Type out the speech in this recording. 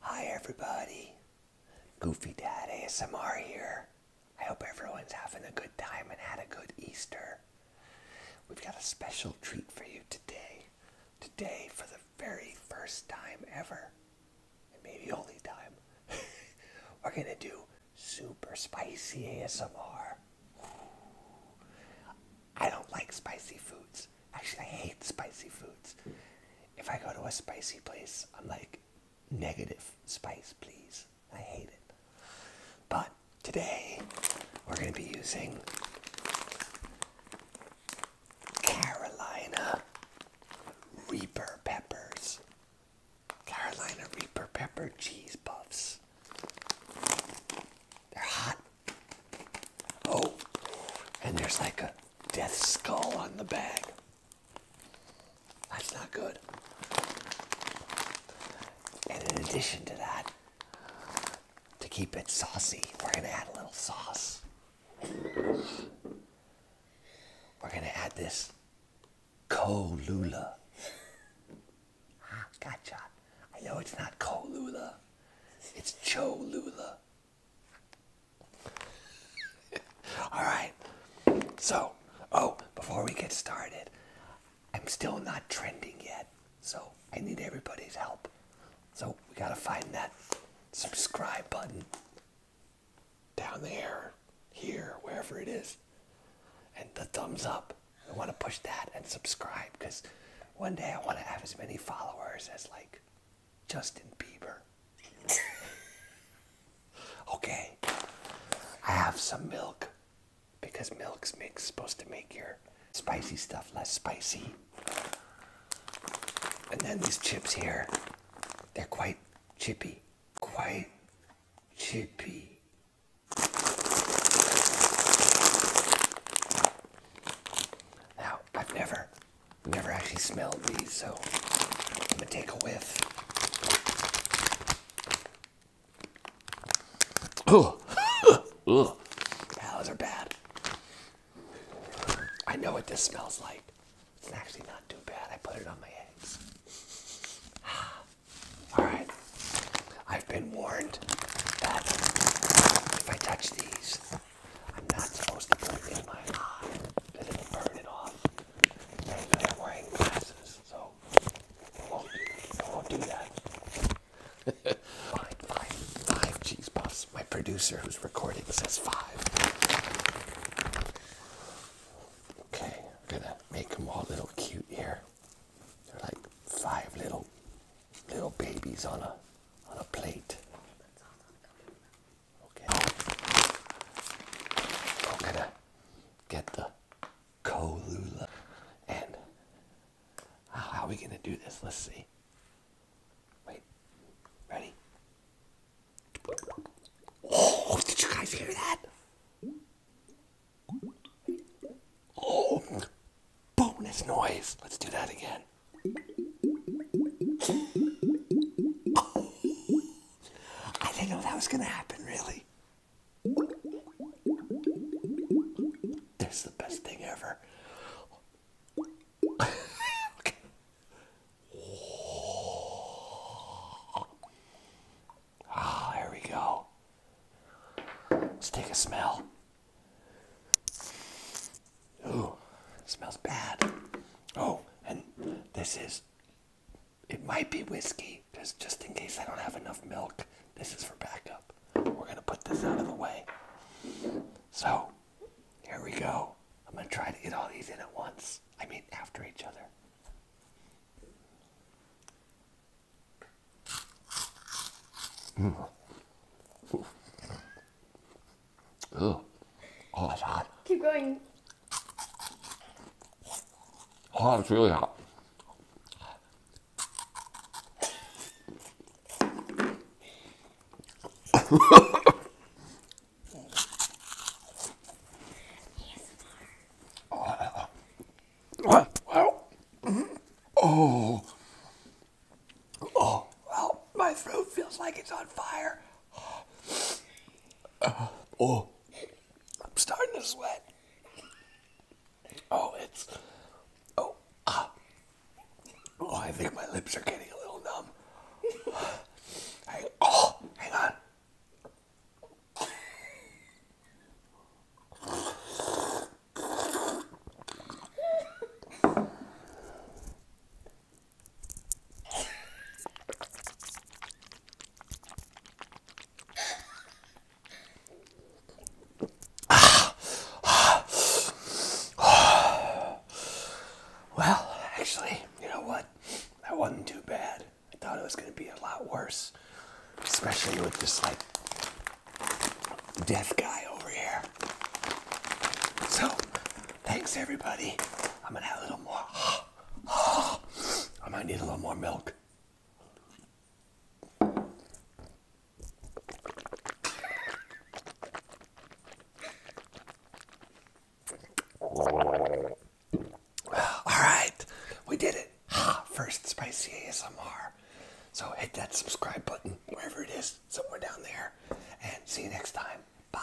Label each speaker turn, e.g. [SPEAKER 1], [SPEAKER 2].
[SPEAKER 1] Hi everybody, Goofy Dad ASMR here. I hope everyone's having a good time and had a good Easter. We've got a special treat for you today. Today, for the very first time ever, and maybe only time, we're gonna do super spicy ASMR. I don't like spicy foods. Actually, I hate spicy foods. If I go to a spicy place, I'm like, negative spice, please. I hate it. But today, we're going to be using Carolina Reaper peppers. Carolina Reaper pepper cheese puffs. They're hot Oh, and there's like a death skull on the bag. That's not good. And in addition to that, to keep it saucy, we're going to add a little sauce. We're going to add this colula. Ah, gotcha. I know it's not Colula. It's Cho Lula. All right. So, oh, before we get started, I'm still not trending yet. So, I need everybody's help. So, we got to find that subscribe button down there, here, wherever it is, and the thumbs up. I want to push that and subscribe because one day I want to have as many followers as like Justin Bieber. okay, I have some milk because milk's supposed to make your spicy stuff less spicy. And then these chips here, they're quite chippy, quite Chippy. Now, I've never, never actually smelled these, so I'm gonna take a whiff. Oh, oh, those are bad. I know what this smells like. It's actually not too bad. I put it on my eggs. Alright. I've been warned that if I touch these, I'm not supposed to put it in my eye Does it burn it off. I'm wearing glasses, so I won't, do that. Five, five, five. fine. Five cheese puffs. My producer who's recording says five. Okay, I'm gonna make them all little cute here. They're like five little little babies on a on a plate. Okay. I'm gonna get the Kolula and how are we gonna do this? Let's see. Wait. Ready? Oh, did you guys hear that? Oh, bonus noise. Let's do that again. I didn't know that was going to happen, really. That's the best thing ever. Ah, there we go. Let's take a smell. Ooh, smells bad. Oh, and this is, it might be whiskey, because just in case I don't have enough milk, this is for backup. We're gonna put this out of the way. So, here we go. I'm gonna try to get all these in at once. I mean, after each other. Mm. Oh, it's hot. Keep going. Oh, it's really hot oh. Oh, well, my throat feels like it's on fire. oh, I'm starting to sweat. Oh, it's. Oh, ah. Oh, I think my lips are getting a little numb. I, oh, hang on. well, actually, you know what? That wasn't too bad. I thought it was going to be a lot worse, especially with this like deaf guy over here. So, thanks everybody. I'm going to have a little more. I might need a little more milk. All right, we did it. First spicy ASMR. So hit that subscribe button wherever it is, somewhere down there. And see you next time. Bye.